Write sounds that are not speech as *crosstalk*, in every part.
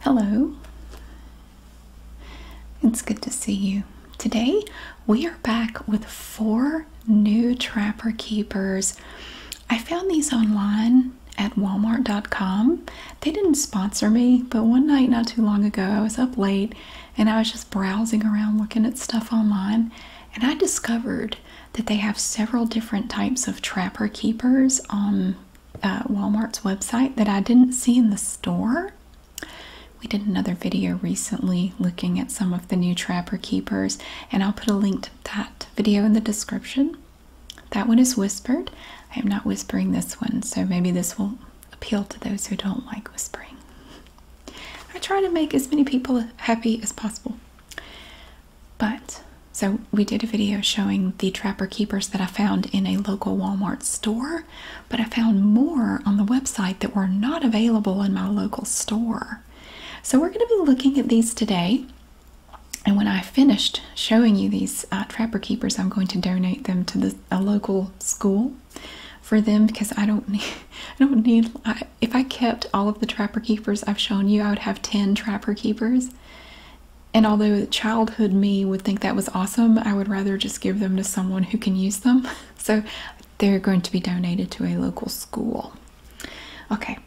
Hello, it's good to see you. Today we are back with four new Trapper Keepers. I found these online at walmart.com. They didn't sponsor me, but one night not too long ago I was up late and I was just browsing around looking at stuff online and I discovered that they have several different types of Trapper Keepers. Um, from uh, Walmart's website that I didn't see in the store. We did another video recently looking at some of the new Trapper Keepers, and I'll put a link to that video in the description. That one is whispered. I am not whispering this one, so maybe this will appeal to those who don't like whispering. I try to make as many people happy as possible. But so, we did a video showing the Trapper Keepers that I found in a local Walmart store, but I found more on the website that were not available in my local store. So, we're going to be looking at these today. And when I finished showing you these uh, Trapper Keepers, I'm going to donate them to the, a local school for them because I don't need, *laughs* I don't need, if I kept all of the Trapper Keepers I've shown you, I would have 10 Trapper Keepers and although childhood me would think that was awesome, I would rather just give them to someone who can use them. *laughs* So they're going to be donated to a local school. Okay,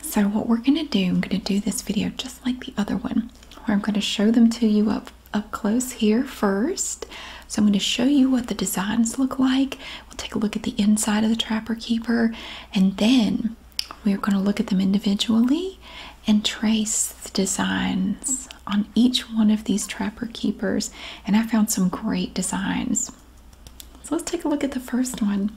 so what we're going to do, I'm going to do this video just like the other one, where I'm going to show them to you up, up close here first. So I'm going to show you what the designs look like. We'll take a look at the inside of the Trapper Keeper and then we're going to look at them individually and trace the designs on each one of these Trapper Keepers. And I found some great designs. So let's take a look at the first one.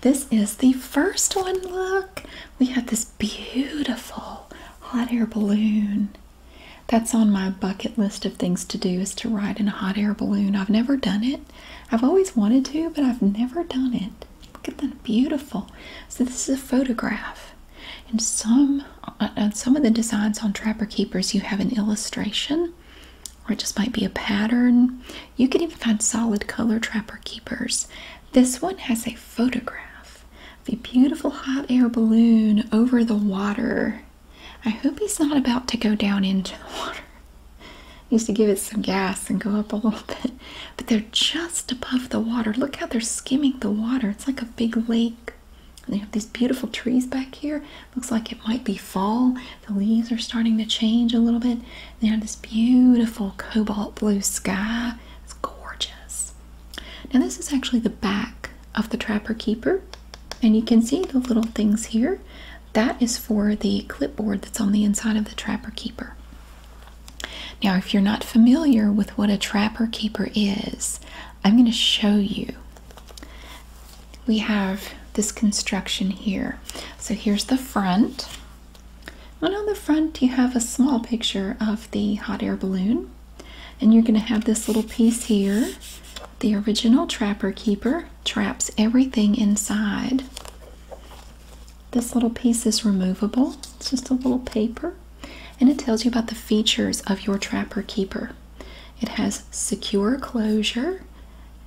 This is the first one. Look, we have this beautiful hot air balloon. That's on my bucket list of things to do is to ride in a hot air balloon. I've never done it. I've always wanted to, but I've never done it. Look at that, beautiful. So this is a photograph. And some uh, uh, some of the designs on Trapper Keepers, you have an illustration, or it just might be a pattern. You can even find solid color Trapper Keepers. This one has a photograph of a beautiful hot air balloon over the water. I hope he's not about to go down into the *laughs* water used to give it some gas and go up a little *laughs* bit, but they're just above the water. Look how they're skimming the water. It's like a big lake. And they have these beautiful trees back here. Looks like it might be fall. The leaves are starting to change a little bit. They have this beautiful cobalt blue sky. It's gorgeous. Now this is actually the back of the Trapper Keeper. And you can see the little things here. That is for the clipboard that's on the inside of the Trapper Keeper. Now, if you're not familiar with what a trapper keeper is, I'm going to show you. We have this construction here. So here's the front. And on the front, you have a small picture of the hot air balloon. And you're going to have this little piece here. The original trapper keeper traps everything inside. This little piece is removable. It's just a little paper and it tells you about the features of your Trapper Keeper. It has secure closure,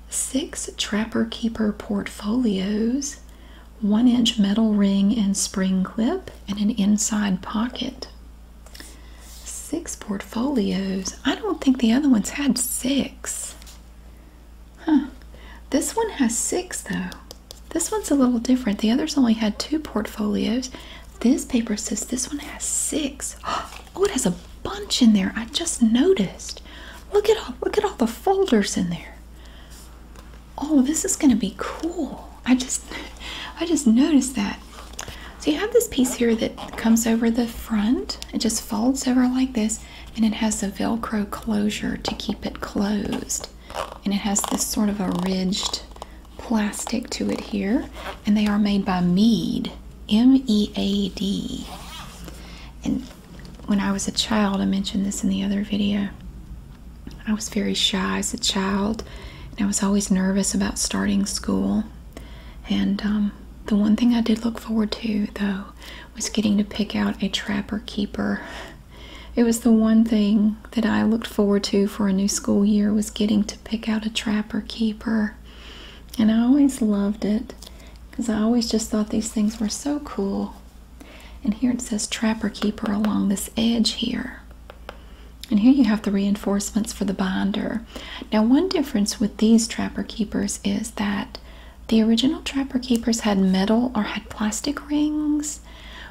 six Trapper Keeper portfolios, one inch metal ring and spring clip, and an inside pocket. Six portfolios. I don't think the other ones had six. Huh. This one has six though. This one's a little different. The others only had two portfolios. This paper says this one has six. *gasps* Oh, it has a bunch in there. I just noticed. Look at all look at all the folders in there. Oh, this is gonna be cool. I just *laughs* I just noticed that. So you have this piece here that comes over the front. It just folds over like this and it has a velcro closure to keep it closed and it has this sort of a ridged plastic to it here and they are made by mead m-e-a-d and when i was a child i mentioned this in the other video i was very shy as a child and i was always nervous about starting school and um, the one thing i did look forward to though was getting to pick out a trapper keeper it was the one thing that I looked forward to for a new school year was getting to pick out a trapper keeper. And I always loved it because I always just thought these things were so cool. And here it says trapper keeper along this edge here. And here you have the reinforcements for the binder. Now one difference with these trapper keepers is that the original Trapper Keepers had metal or had plastic rings,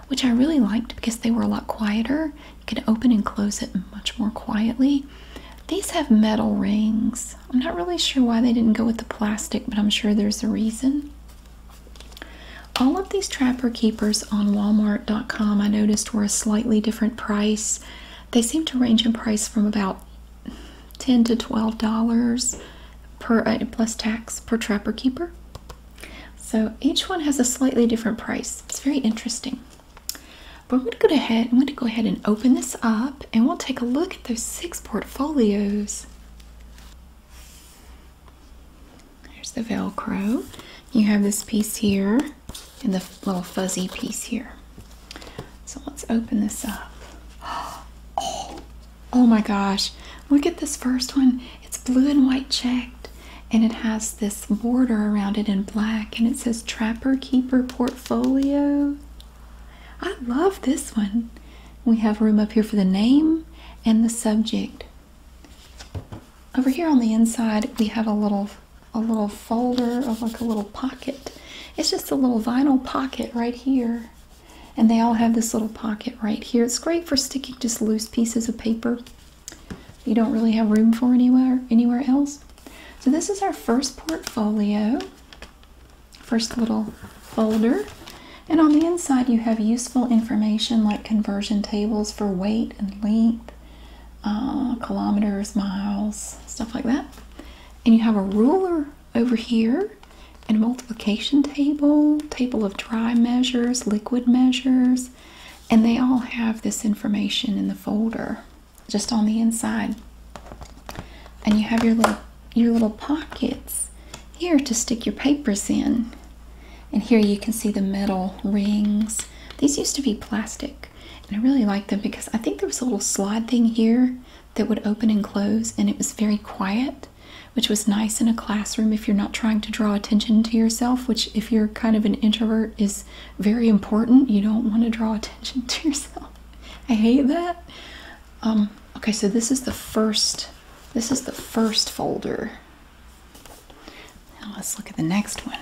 which I really liked because they were a lot quieter. You could open and close it much more quietly. These have metal rings. I'm not really sure why they didn't go with the plastic, but I'm sure there's a reason. All of these Trapper Keepers on Walmart.com I noticed were a slightly different price. They seem to range in price from about 10 to $12 per uh, plus tax per trapper keeper. So each one has a slightly different price. It's very interesting. But I'm going to go ahead. I'm going to go ahead and open this up, and we'll take a look at those six portfolios. There's the Velcro. You have this piece here, and the little fuzzy piece here. So let's open this up. *gasps* Oh, Oh my gosh, look at this first one. It's blue and white checked, and it has this border around it in black, and it says Trapper Keeper Portfolio. I love this one. We have room up here for the name and the subject. Over here on the inside, we have a little a little folder of like a little pocket. It's just a little vinyl pocket right here. And they all have this little pocket right here. It's great for sticking just loose pieces of paper. You don't really have room for anywhere anywhere else. So this is our first portfolio, first little folder. And on the inside you have useful information like conversion tables for weight and length, uh, kilometers, miles, stuff like that. And you have a ruler over here and multiplication table, table of dry measures, liquid measures, and they all have this information in the folder just on the inside. And you have your little your little pockets here to stick your papers in. And here you can see the metal rings. These used to be plastic, and I really like them because I think there was a little slide thing here that would open and close, and it was very quiet which was nice in a classroom if you're not trying to draw attention to yourself, which, if you're kind of an introvert, is very important. You don't want to draw *laughs* attention to yourself. I hate that. Um, okay, so this is the first. This is the first folder. Now let's look at the next one.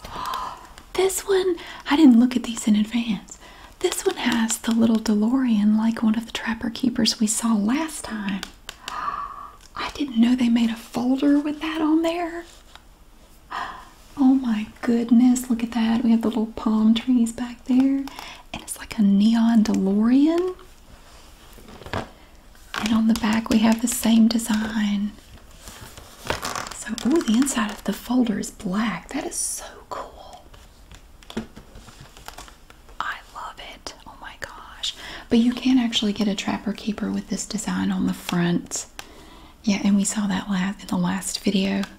*gasps* this one, I didn't look at these in advance. This one has the little DeLorean like one of the Trapper Keepers we saw last time. *gasps* I didn't know they made a folder with that on there. *gasps* Oh my goodness, look at that. We have the little palm trees back there, and it's like a neon DeLorean. And on the back, we have the same design. So, oh, the inside of the folder is black. That is so cool. I love it. Oh my gosh. But you can actually get a trapper keeper with this design on the front. Yeah, and we saw that last in the last video. *laughs*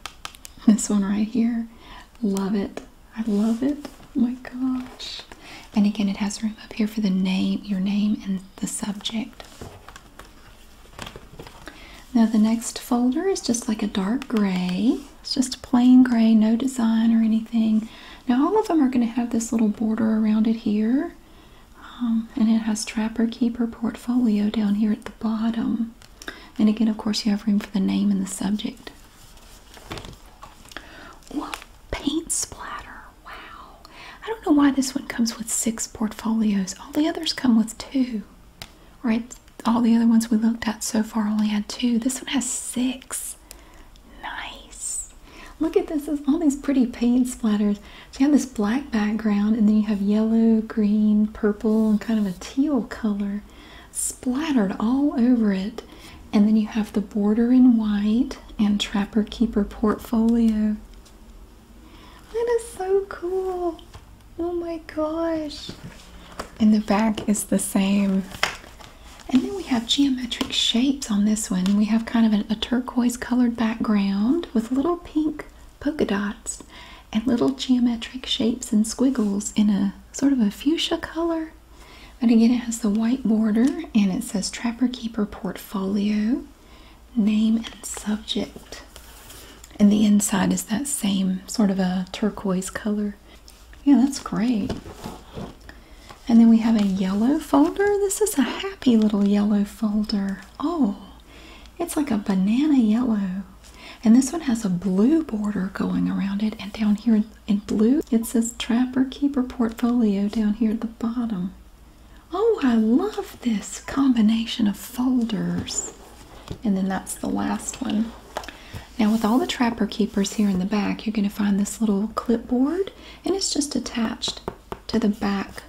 This one right here. Love it. I love it. Oh my gosh. And again, it has room up here for the name, your name and the subject. Now the next folder is just like a dark gray. It's just plain gray, no design or anything. Now all of them are going to have this little border around it here. Um, and it has Trapper Keeper Portfolio down here at the bottom. And again, of course, you have room for the name and the subject. paint splatter. Wow. I don't know why this one comes with six portfolios. All the others come with two. Right? All the other ones we looked at so far only had two. This one has six. Nice. Look at this. There's all these pretty paint splatters. So you have this black background, and then you have yellow, green, purple, and kind of a teal color splattered all over it. And then you have the border in white and Trapper Keeper portfolio. That is so cool. Oh my gosh. And the back is the same. And then we have geometric shapes on this one. We have kind of a turquoise colored background with little pink polka dots and little geometric shapes and squiggles in a sort of a fuchsia color. But again, it has the white border and it says Trapper Keeper Portfolio, Name and Subject. And the inside is that same sort of a turquoise color yeah, that's great. And then we have a yellow folder. This is a happy little yellow folder. Oh, it's like a banana yellow. And this one has a blue border going around it. And down here in blue, it says Trapper Keeper Portfolio down here at the bottom. Oh, I love this combination of folders. And then that's the last one. Now with all the trapper keepers here in the back, you're going to find this little clipboard and it's just attached to the back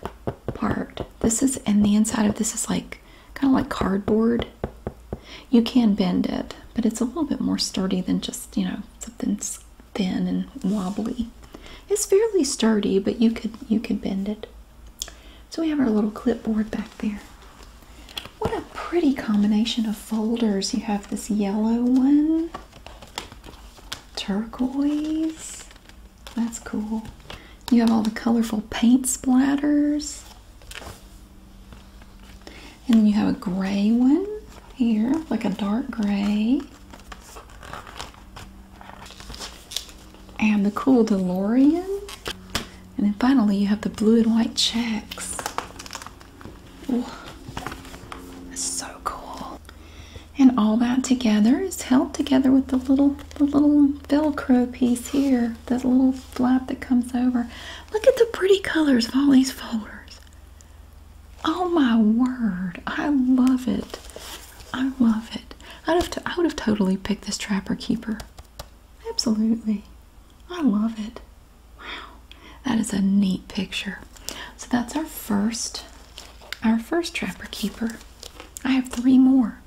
part. This is and the inside of this is like kind of like cardboard. You can bend it, but it's a little bit more sturdy than just, you know, something thin and wobbly. It's fairly sturdy, but you could you could bend it. So we have our little clipboard back there. What a pretty combination of folders. You have this yellow one turquoise. That's cool. You have all the colorful paint splatters. And then you have a gray one here, like a dark gray. And the cool DeLorean. And then finally you have the blue and white checks. Ooh, that's so cool. And all that together is held together with the little the little velcro piece here, that little flap that comes over. Look at the pretty colors of all these folders. Oh my word, I love it. I love it. I'd have I would have totally picked this trapper keeper. Absolutely. I love it. Wow, that is a neat picture. So that's our first, our first trapper keeper. I have three more.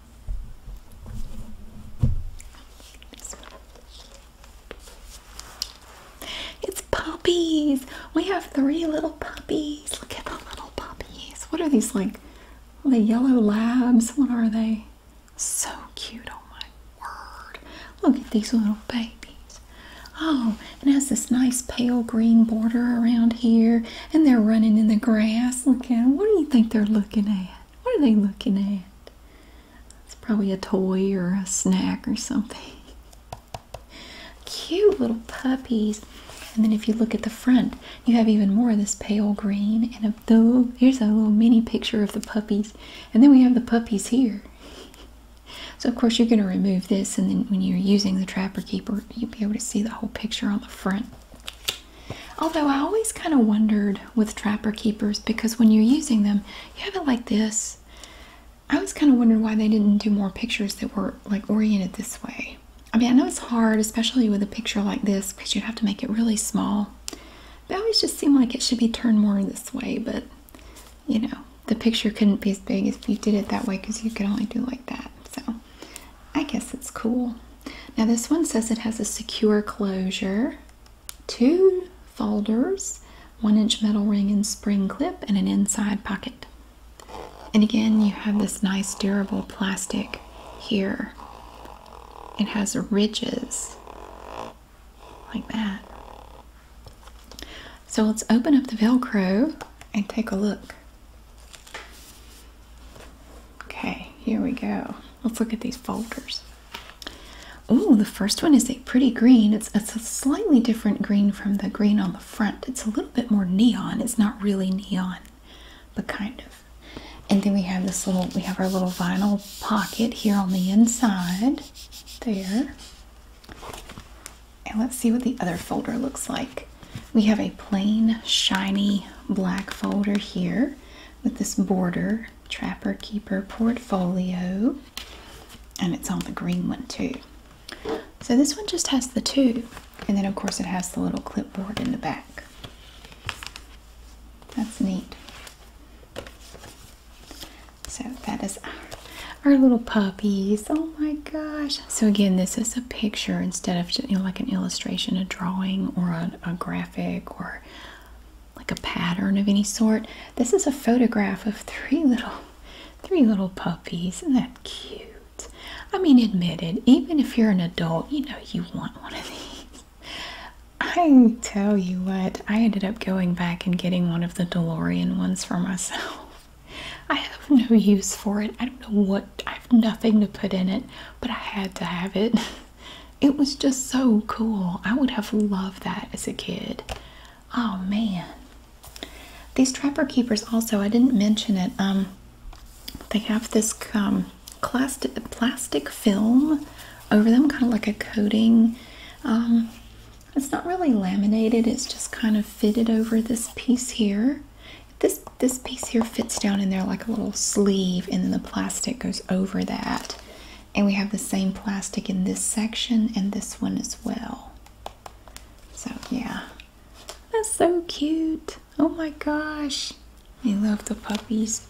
It's puppies. We have three little puppies. Look at the little puppies. What are these like? The yellow labs. What are they? So cute. Oh my word. Look at these little babies. Oh, and it has this nice pale green border around here, and they're running in the grass. Look at them. What do you think they're looking at? What are they looking at? It's probably a toy or a snack or something. *laughs* Cute little puppies. And then if you look at the front, you have even more of this pale green. And a, the, here's a little mini picture of the puppies. And then we have the puppies here. *laughs* So of course you're going to remove this and then when you're using the Trapper Keeper you'll be able to see the whole picture on the front. Although I always kind of wondered with Trapper Keepers because when you're using them you have it like this. I was kind of wondering why they didn't do more pictures that were like oriented this way. I mean I know it's hard especially with a picture like this because you would have to make it really small. But always just seemed like it should be turned more this way but you know, the picture couldn't be as big if you did it that way because you could only do like that. So I guess it's cool. Now this one says it has a secure closure, two folders, one inch metal ring and spring clip, and an inside pocket. And again, you have this nice durable plastic here. It has ridges like that. So let's open up the Velcro and take a look. Okay, here we go. Let's look at these folders. Oh, the first one is a pretty green. It's, it's a slightly different green from the green on the front. It's a little bit more neon. It's not really neon, but kind of. And then we have this little, we have our little vinyl pocket here on the inside. There. And let's see what the other folder looks like. We have a plain, shiny black folder here with this border Trapper Keeper portfolio, and it's on the green one too. So this one just has the two, and then of course it has the little clipboard in the back. That's neat. So that is our little puppies. Oh my gosh. So again, this is a picture instead of like an illustration, a drawing or a, a graphic or like a pattern of any sort. This is a photograph of three little three little puppies. Isn't that cute? I mean, admitted, even if you're an adult, you know you want one of these. I tell you what, I ended up going back and getting one of the DeLorean ones for myself. I have no use for it. I don't know what, I have nothing to put in it, but I had to have it. *laughs* It was just so cool. I would have loved that as a kid. Oh man. These Trapper Keepers also, I didn't mention it, um, they have this um, plastic, plastic film over them, kind of like a coating. Um, it's not really laminated, it's just kind of fitted over this piece here. This this piece here fits down in there like a little sleeve and then the plastic goes over that. And we have the same plastic in this section and this one as well. So yeah. That's so cute. Oh my gosh. I love the puppies.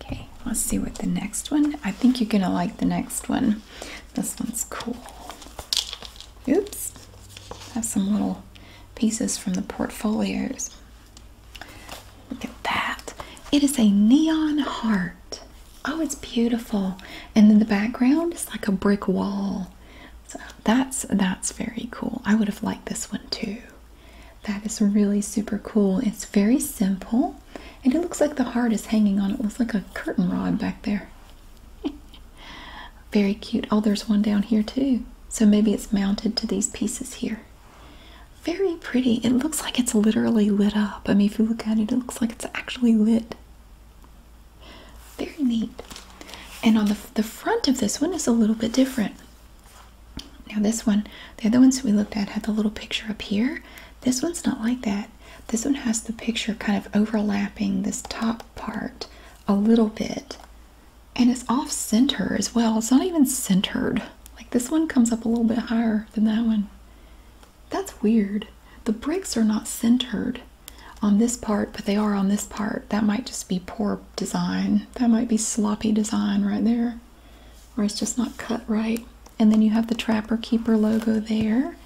Okay, let's see what the next one. I think you're gonna like the next one. This one's cool. Oops. Have some little pieces from the portfolios. Look at that. It is a neon heart. Oh, it's beautiful. And in the background it's like a brick wall. So that's that's very cool. I would have liked this one too. That is really super cool. It's very simple. And it looks like the heart is hanging on. It looks like a curtain rod back there. *laughs* Very cute. Oh, there's one down here too. So maybe it's mounted to these pieces here. Very pretty. It looks like it's literally lit up. I mean, if you look at it, it looks like it's actually lit. Very neat. And on the, the front of this one is a little bit different. Now this one, the other ones we looked at had the little picture up here. This one's not like that. This one has the picture kind of overlapping this top part a little bit. And it's off center as well. It's not even centered. Like this one comes up a little bit higher than that one. That's weird. The bricks are not centered on this part, but they are on this part. That might just be poor design. That might be sloppy design right there. Or it's just not cut right. And then you have the Trapper Keeper logo there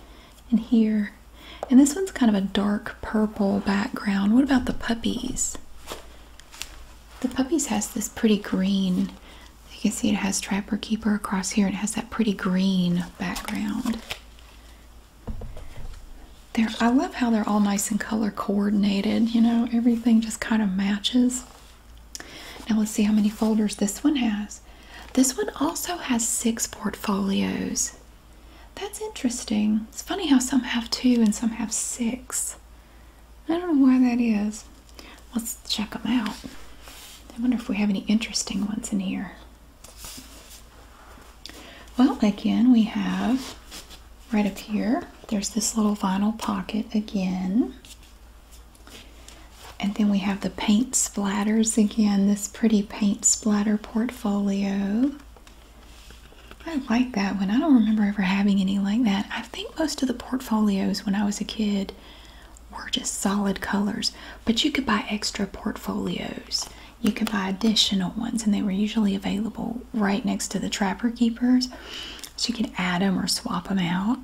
and here. And this one's kind of a dark purple background. What about the puppies? The puppies has this pretty green. You can see it has Trapper Keeper across here and it has that pretty green background. There, I love how they're all nice and color coordinated. You know, everything just kind of matches. Now let's see how many folders this one has. This one also has six portfolios. That's interesting. It's funny how some have two and some have six. I don't know why that is. Let's check them out. I wonder if we have any interesting ones in here. Well, again, we have right up here, there's this little vinyl pocket again. And then we have the paint splatters again. This pretty paint splatter portfolio. I like that one. I don't remember ever having any like that. I think most of the portfolios when I was a kid were just solid colors, but you could buy extra portfolios. You could buy additional ones, and they were usually available right next to the Trapper Keepers. So you could add them or swap them out.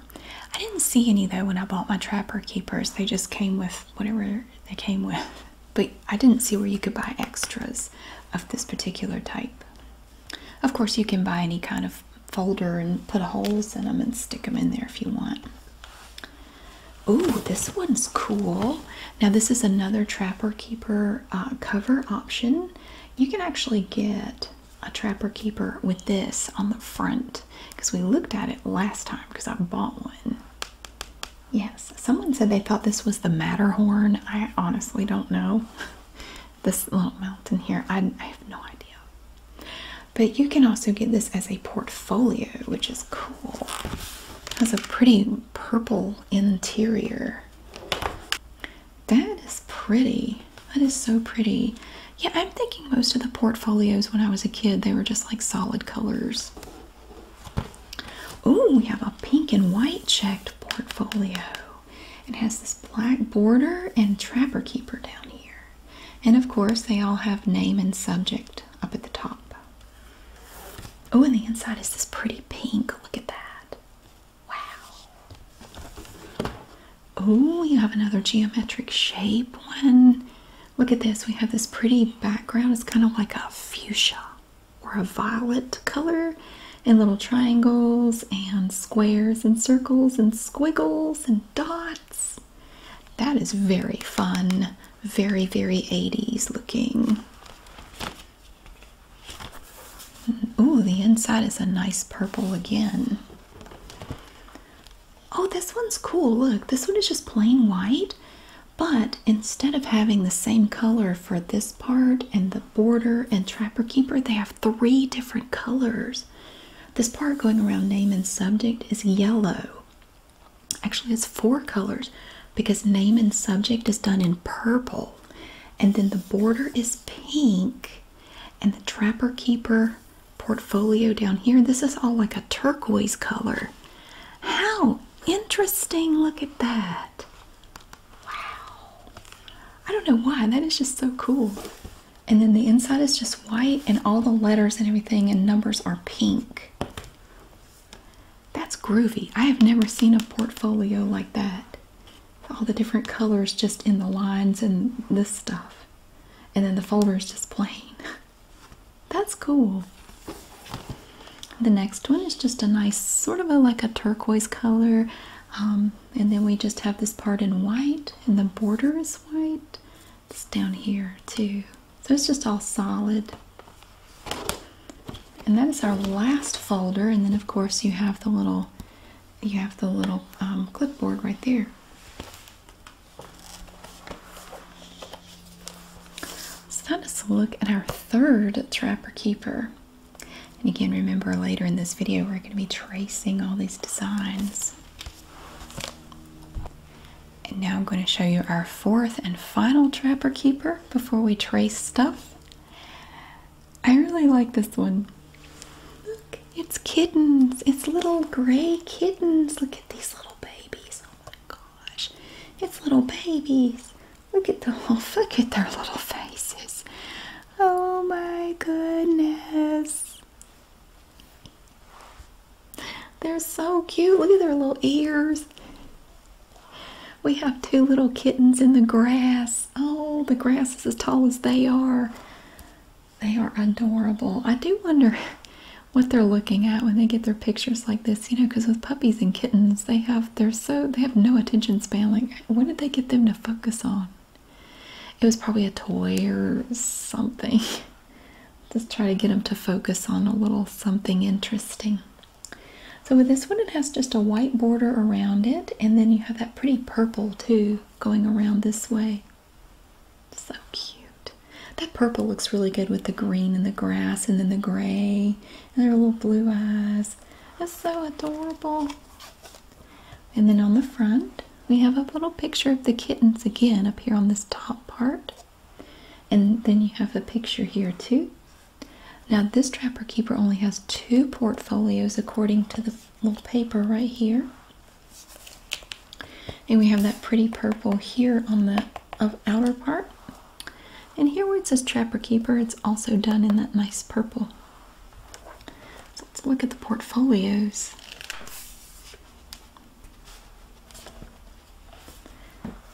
I didn't see any though when I bought my Trapper Keepers. They just came with whatever they came with. *laughs* but I didn't see where you could buy extras of this particular type. Of course, you can buy any kind of folder and put holes in them and stick them in there if you want. Ooh, this one's cool. Now, this is another Trapper Keeper uh, cover option. You can actually get a Trapper Keeper with this on the front because we looked at it last time because I bought one. Yes, someone said they thought this was the Matterhorn. I honestly don't know. *laughs* This little mountain here, I, have no idea. But you can also get this as a portfolio, which is cool. It has a pretty purple interior. That is pretty. That is so pretty. Yeah, I'm thinking most of the portfolios when I was a kid, they were just like solid colors. Oh, we have a pink and white checked portfolio. It has this black border and trapper keeper down here. And of course, they all have name and subject up at the top. Oh, and the inside is this pretty pink. Look at that. Wow. Oh, you have another geometric shape one Look at this. We have this pretty background. It's kind of like a fuchsia or a violet color and little triangles and squares and circles and squiggles and dots. That is very fun. Very, very 80s looking. Ooh, the inside is a nice purple again. Oh, this one's cool. Look, this one is just plain white, but instead of having the same color for this part and the border and Trapper Keeper, they have three different colors. This part going around name and subject is yellow. Actually, it's four colors because name and subject is done in purple. And then the border is pink. And the Trapper Keeper portfolio down here, this is all like a turquoise color. How interesting. Look at that. Wow. I don't know why. That is just so cool. And then the inside is just white, and all the letters and everything and numbers are pink. That's groovy. I have never seen a portfolio like that. All the different colors just in the lines and this stuff. And then the folder is just plain. *laughs* That's cool. The next one is just a nice sort of a like a turquoise color. Um, and then we just have this part in white and the border is white. It's down here too. So it's just all solid. And that is our last folder. And then of course you have the little you have the little um, clipboard right there. So that is a look at our third Trapper Keeper. And again, remember later in this video, we're going to be tracing all these designs. And now I'm going to show you our fourth and final Trapper Keeper before we trace stuff. I really like this one. Look, it's kittens. It's little gray kittens. Look at these little babies. Oh my God! it's little babies. Look at the *laughs* look at their little faces. Oh my goodness. They're so cute. Look at their little ears. We have two little kittens in the grass. Oh, the grass is as tall as they are. They are adorable. I do wonder *laughs* what they're looking at when they get their pictures like this you know, because with puppies and kittens, they have they're so they have no attention span. Like, what did they get them to focus on? It was probably a toy or something. *laughs* Just try to get them to focus on a little something interesting. So with this one, it has just a white border around it, and then you have that pretty purple too going around this way. So cute. That purple looks really good with the green and the grass, and then the gray and their little blue eyes. That's so adorable. And then on the front, we have a little picture of the kittens again up here on this top part. And then you have a picture here too. Now this Trapper Keeper only has two portfolios according to the little paper right here. And we have that pretty purple here on the outer part. And here where it says Trapper Keeper, it's also done in that nice purple. So let's look at the portfolios.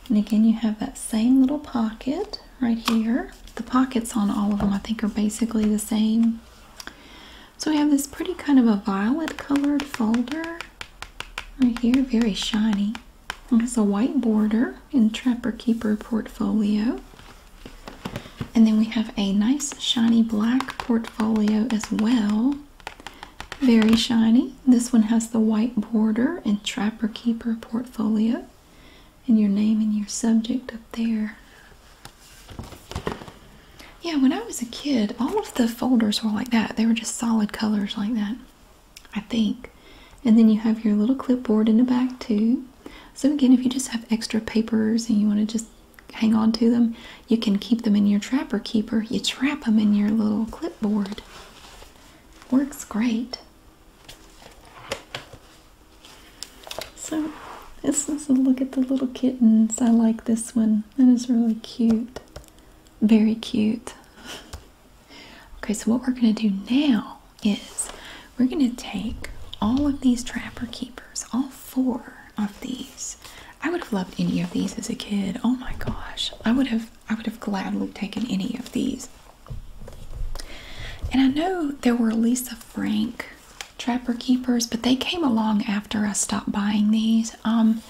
And again, you have that same little pocket right here. The pockets on all of them, I think, are basically the same. So we have this pretty kind of a violet colored folder right here, very shiny. It has a white border in Trapper Keeper portfolio. And then we have a nice shiny black portfolio as well. Very shiny. This one has the white border in Trapper Keeper portfolio. And your name and your subject up there. Yeah, when I was a kid, all of the folders were like that. They were just solid colors like that. I think. And then you have your little clipboard in the back too. So again, if you just have extra papers and you want to just hang on to them, you can keep them in your trapper keeper. You trap them in your little clipboard. Works great. So this is a look at the little kittens. I like this one. That is really cute. Very cute. *laughs* Okay, so what we're going to do now is we're going to take all of these trapper keepers, all four of these. I would have loved any of these as a kid. Oh my gosh. I would have I would have gladly taken any of these. And I know there were Lisa Frank trapper keepers, but they came along after I stopped buying these. Um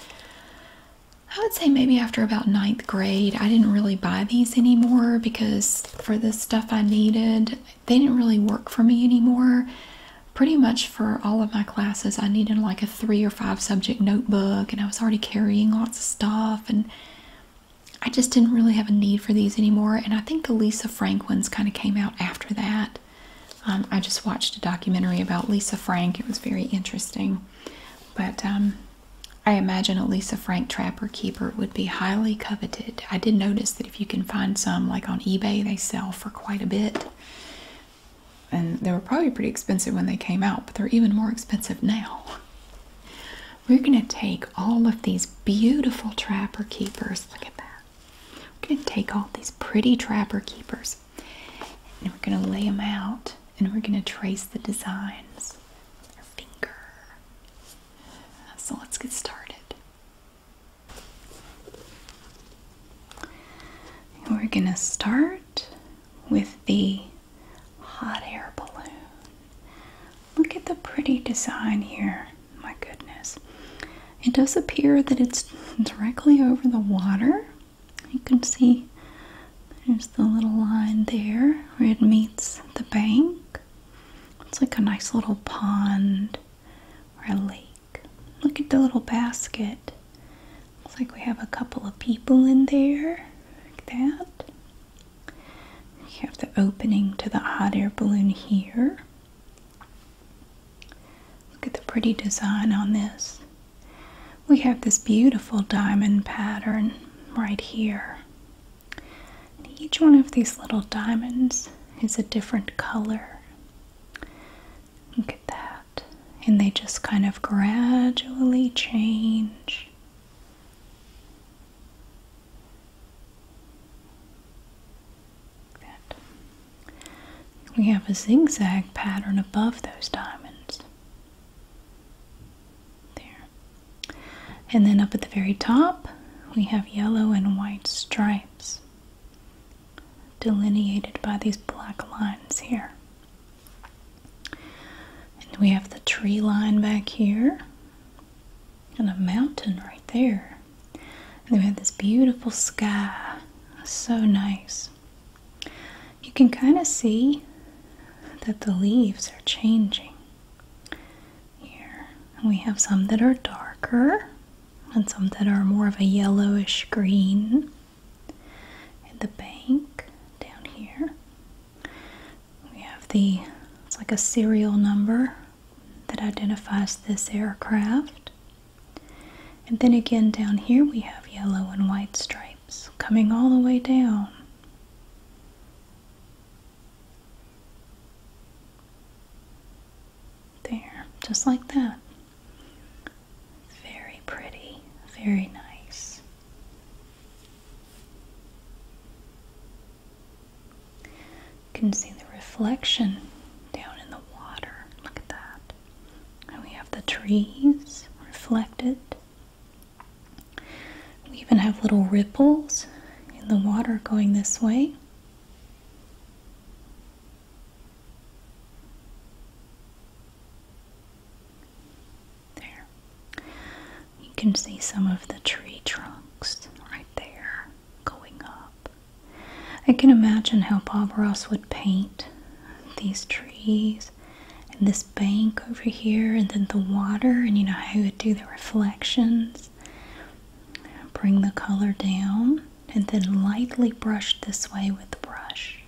I would say maybe after about ninth grade, I didn't really buy these anymore because for the stuff I needed, they didn't really work for me anymore. Pretty much for all of my classes, I needed like a three or five subject notebook, and I was already carrying lots of stuff, and I just didn't really have a need for these anymore. And I think the Lisa Frank ones kind of came out after that. Um, I just watched a documentary about Lisa Frank, it was very interesting. But um, I imagine a Lisa Frank Trapper Keeper would be highly coveted. I did notice that if you can find some, like on eBay, they sell for quite a bit. And they were probably pretty expensive when they came out, but they're even more expensive now. We're going to take all of these beautiful Trapper Keepers. Look at that. We're going to take all these pretty Trapper Keepers and we're going to lay them out and we're going to trace the designs finger. So let's get started. we're going to start with the hot air balloon. Look at the pretty design here. My goodness. It does appear that it's directly over the water. You can see there's the little line there where it meets the bank. It's like a nice little pond or a lake. Look at the little basket. Looks like we have a couple of people in there, like that. You have the opening to the hot air balloon here. Look at the pretty design on this. We have this beautiful diamond pattern right here each one of these little diamonds is a different color. Look at that. And they just kind of gradually change. that. We have a zigzag pattern above those diamonds. There. And then up at the very top, we have yellow and white stripes delineated by these black lines here. And we have the tree line back here and a mountain right there. And we have this beautiful sky. So nice. You can kind of see that the leaves are changing. Here, we have some that are darker and some that are more of a yellowish green. And the bank down here, we have the it's like a serial number that identifies this aircraft. And then again, down here, we have yellow and white stripes coming all the way down. There, just like that. Very pretty, very nice. You can see the reflection down in the water. Look at that. And we have the trees reflected we even have little ripples in the water going this way. There. You can see some of the tree trunks right there going up. I can imagine how Bob Ross would paint these trees and this bank over here and then the water and you know how it would do the reflections bring the color down and then lightly brush this way with the brush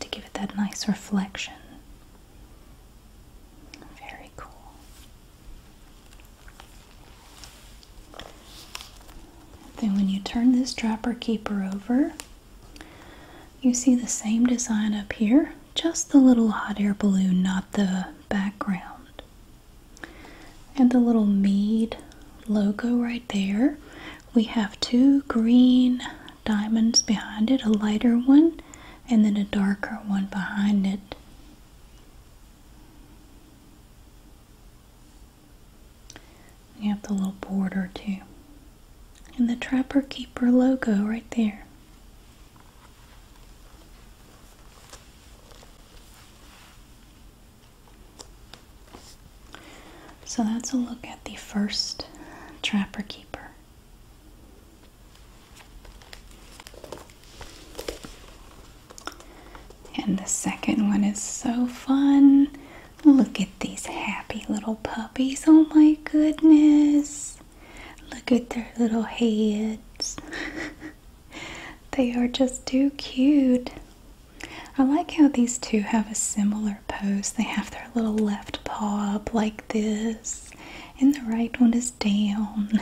to give it that nice reflection very cool then when you turn this dropper keeper over you see the same design up here, just the little hot air balloon, not the background. And the little mead logo right there. We have two green diamonds behind it, a lighter one, and then a darker one behind it. You have the little border too and the Trapper Keeper logo right there. So that's a look at the first Trapper Keeper. And the second one is so fun. Look at these happy little oh my goodness. Look at their little heads. *laughs* they are just too cute. I like how these two have a similar pose. They have their little left paw up like this, and the right one is down.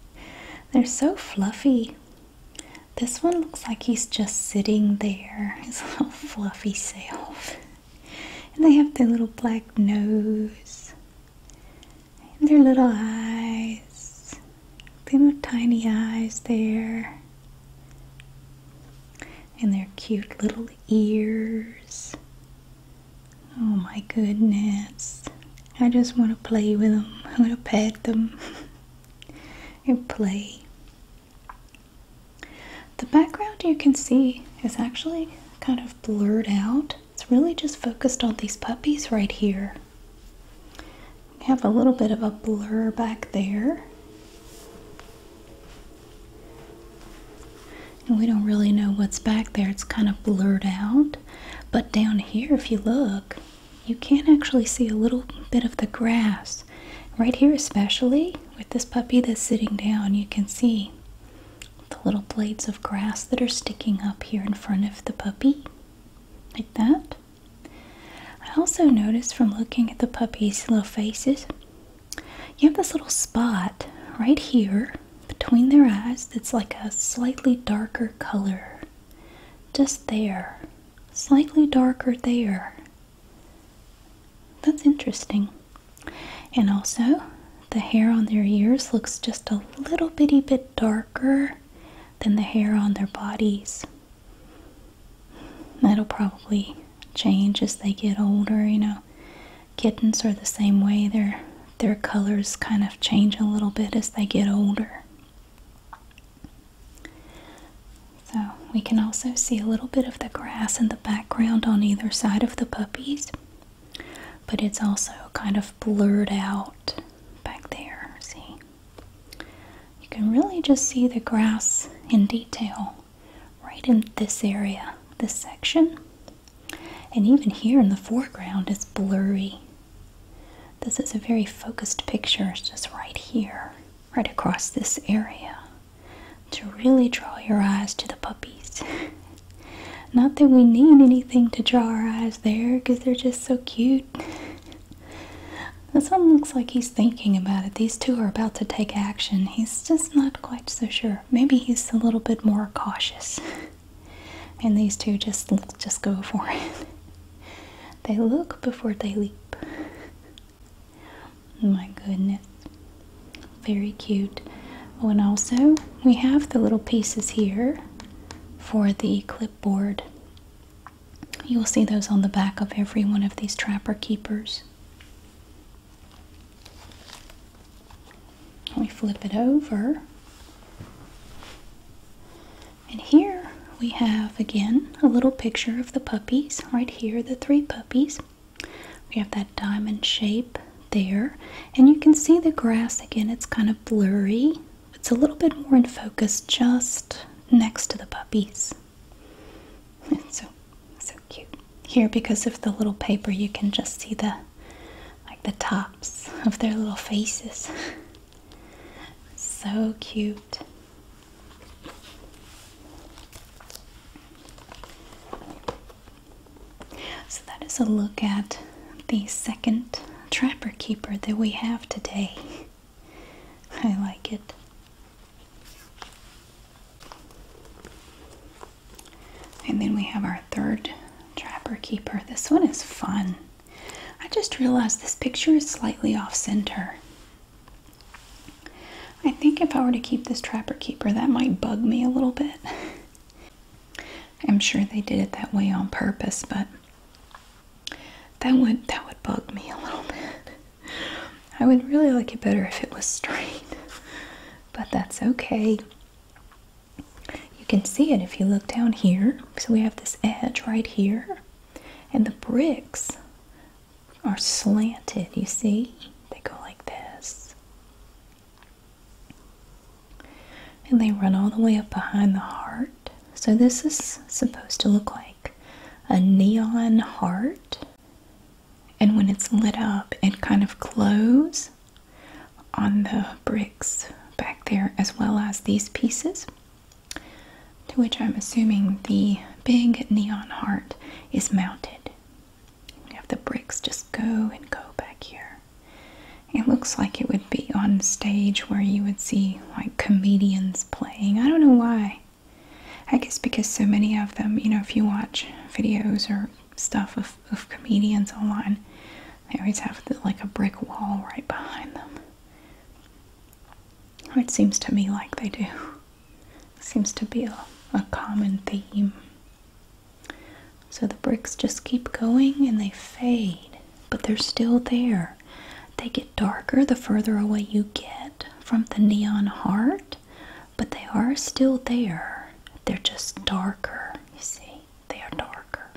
*laughs* They're so fluffy. This one looks like he's just sitting there, his *laughs* little fluffy self. And they have their little black nose and their little eyes. They have tiny eyes there. And their cute little ears. Oh my goodness. I just want to play with them. I want to pet them *laughs* and play. The background you can see is actually kind of blurred out. It's really just focused on these puppies right here. We have a little bit of a blur back there. And we don't really know what's back there. It's kind of blurred out. But down here, if you look, you can actually see a little bit of the grass. Right here especially, with this puppy that's sitting down, you can see the little blades of grass that are sticking up here in front of the puppy, like that. I also noticed from looking at the puppy's little faces, you have this little spot right here between their eyes that's like a slightly darker color. Just there. Slightly darker there. That's interesting. And also, the hair on their ears looks just a little bitty bit darker than the hair on their bodies. That'll probably change as they get older, you know. Kittens are the same way. Their their colors kind of change a little bit as they get older. So, we can also see a little bit of the grass in the background on either side of the puppies. But it's also kind of blurred out back there. See? You can really just see the grass in detail right in this area, this section. And even here in the foreground, it's blurry. This is a very focused picture, it's just right here, right across this area to really draw your eyes to the puppies. *laughs* Not that we need anything to draw our eyes there because they're just so cute. This one looks like he's thinking about it. These two are about to take action. He's just not quite so sure. Maybe he's a little bit more cautious. *laughs* and these two just just go for it. *laughs* They look before they leap. My goodness. Very cute. Oh, and also we have the little pieces here for the clipboard. You will see those on the back of every one of these trapper keepers. We flip it over. And here we have again a little picture of the puppies, right here, the three puppies. We have that diamond shape there, and you can see the grass again, it's kind of blurry. It's a little bit more in focus just next to the puppies. *laughs* It's so so cute. Here because of the little paper you can just see the like the tops of their little faces. *laughs* so cute. So, that is a look at the second trapper keeper that we have today. *laughs* I like it. And then we have our third trapper keeper. This one is fun. I just realized this picture is slightly off center. I think if I were to keep this trapper keeper, that might bug me a little bit. *laughs* I'm sure they did it that way on purpose, but that would that would bug me a little bit. I would really like it better if it was straight. But that's okay. You can see it if you look down here. So we have this edge right here. And the bricks are slanted, you see? They go like this. And they run all the way up behind the heart. So this is supposed to look like a neon heart. And when it's lit up, it kind of glows on the bricks back there as well as these pieces. To which I'm assuming the big neon heart is mounted you have the bricks just go and go back here. It looks like it would be on stage where you would see like comedians playing. I don't know why. I guess because so many of them, you know, if you watch videos or stuff of, comedians online, they always have like a brick wall right behind them. It seems to me like they do. seems to be a, a common theme so the bricks just keep going and they fade, but they're still there. They get darker the further away you get from the neon heart, but they are still there. They're just darker, you see. They are darker.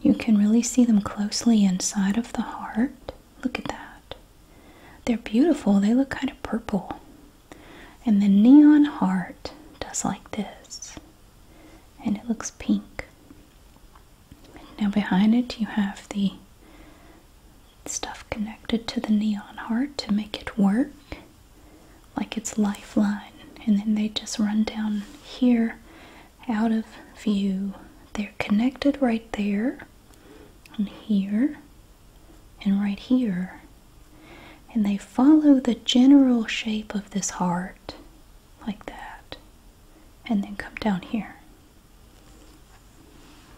You can really see them closely inside of the heart. Look at that. They're beautiful. They look kind of purple. And the neon heart does like this, and it looks pink. Now, behind it, you have the stuff connected to the neon heart to make it work like its lifeline. And then they just run down here out of view. They're connected right there, and here, and right here and they follow the general shape of this heart like that and then come down here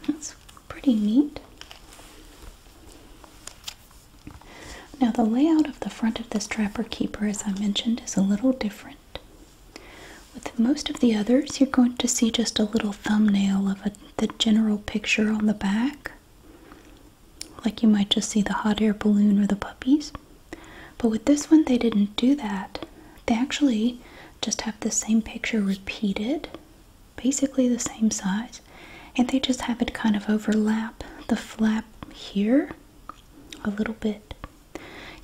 that's pretty neat now the layout of the front of this trapper keeper as i mentioned is a little different with most of the others you're going to see just a little thumbnail of the general picture on the back like you might just see the hot air balloon or the puppies. But with this one, they didn't do that. They actually just have the same picture repeated, basically the same size, and they just have it kind of overlap the flap here a little bit.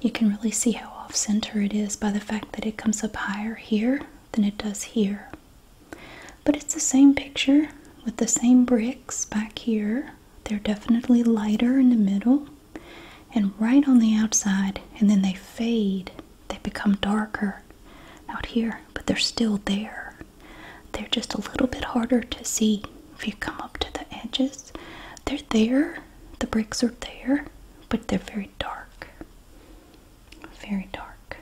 You can really see how off center it is by the fact that it comes up higher here than it does here. But it's the same picture with the same bricks back here. They're definitely lighter in the middle and right on the outside, and then they fade. They become darker out here, but they're still there. They're just a little bit harder to see if you come up to the edges. They're there, the bricks are there, but they're very dark. Very dark.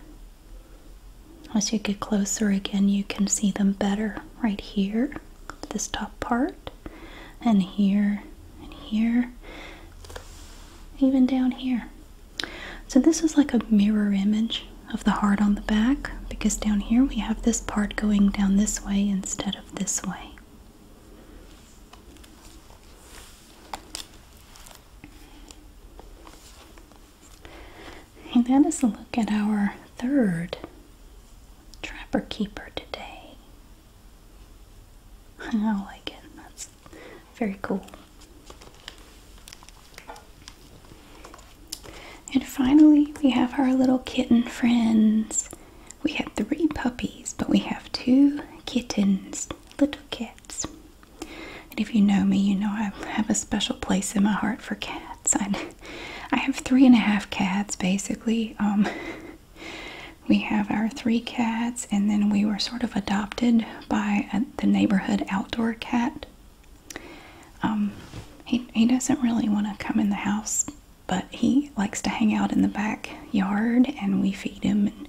As you get closer again, you can see them better right here, this top part, and here, and here, even down here. So, this is like a mirror image of the heart on the back because down here we have this part going down this way instead of this way. And that is a look at our third trapper keeper today. *laughs* I like it. That's very cool. And finally, we have our little kitten friends. We have three puppies, but we have two kittens, little cats. And if you know me, you know I have a special place in my heart for cats. I I have three and a half cats basically. Um, *laughs* we have our three cats, and then we were sort of adopted by the neighborhood outdoor cat. Um, he, he doesn't really want to come in the house, but he likes to hang out in the backyard, and we feed him. And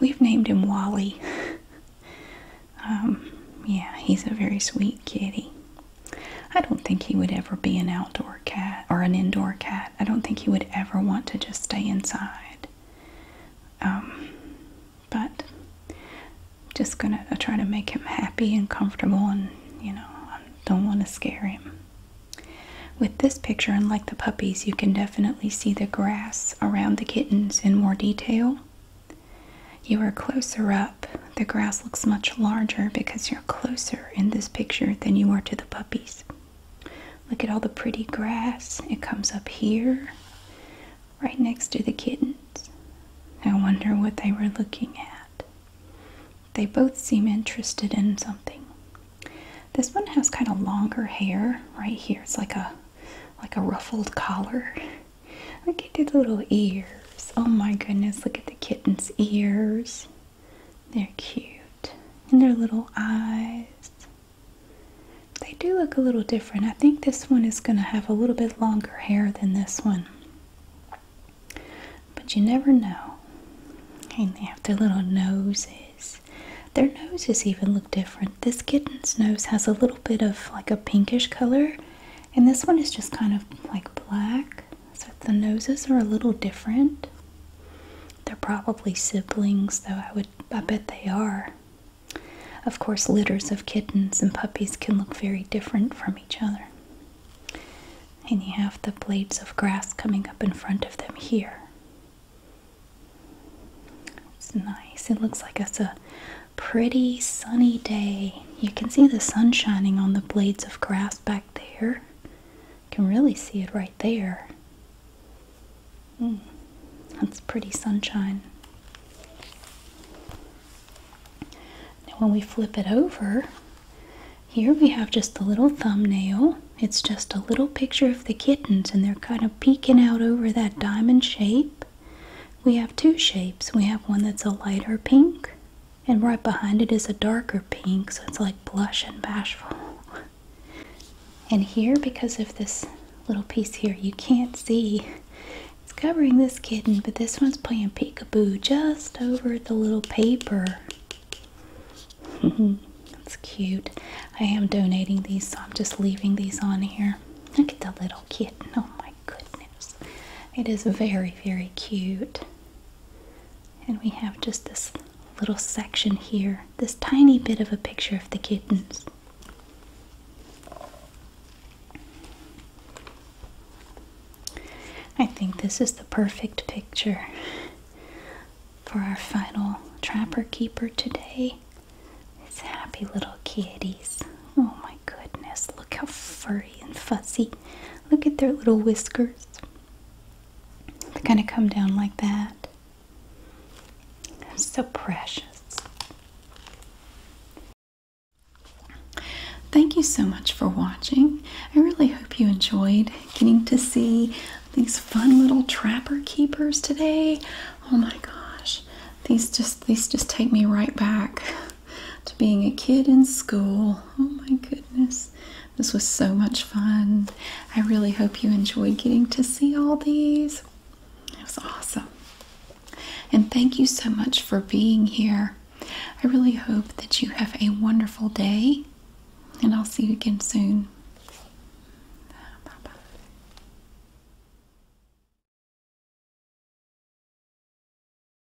we've named him Wally. *laughs* Um, yeah, he's a very sweet kitty. I don't think he would ever be an outdoor cat or an indoor cat. I don't think he would ever want to just stay inside. Um, but just gonna try to make him happy and comfortable, and you know, I don't want to scare him. With this picture, unlike the puppies, you can definitely see the grass around the kittens in more detail. You are closer up the grass looks much larger because you're closer in this picture than you are to the puppies. Look at all the pretty grass. It comes up here, right next to the kittens. I wonder what they were looking at. They both seem interested in something. This one has kind of longer hair right here. It's like a like a ruffled collar. Look at the little ears. Oh my goodness, look at the kitten's ears. They're cute. And their little eyes. They do look a little different. I think this one is going to have a little bit longer hair than this one. But you never know. And they have their little noses. Their noses even look different. This kitten's nose has a little bit of like a pinkish color, and this one is just kind of like black. So the noses are a little different. They're probably siblings, though I would I bet they are. Of course, litters of kittens and puppies can look very different from each other. And you have the blades of grass coming up in front of them here. It's nice. It looks like it's a pretty sunny day you can see the sun shining on the blades of grass back there. You can really see it right there. Hmm, that's pretty sunshine. Now, when we flip it over, here we have just a little thumbnail. It's just a little picture of the kittens, and they're kind of peeking out over that diamond shape. We have two shapes. We have one that's a lighter pink and right behind it is a darker pink, so it's like blush and bashful. And here, because of this little piece here, you can't see it's covering this kitten, but this one's playing peekaboo just over the little paper. *laughs* That's cute. I am donating these, so I'm just leaving these on here. Look at the little kitten. Oh my goodness. It is very, very cute. And we have just this little section here, this tiny bit of a picture of the kittens. I think this is the perfect picture for our final trapper keeper today. It's happy little kitties. Oh my goodness, look how furry and fuzzy Look at their little whiskers. They kind of come down like that. So precious. Thank you so much for watching. I really hope you enjoyed getting to see these fun little trapper keepers today. Oh my gosh. These just these just take me right back *laughs* to being a kid in school. Oh my goodness. This was so much fun. I really hope you enjoyed getting to see all these. It was awesome. And thank you so much for being here. I really hope that you have a wonderful day, and I'll see you again soon. Bye bye.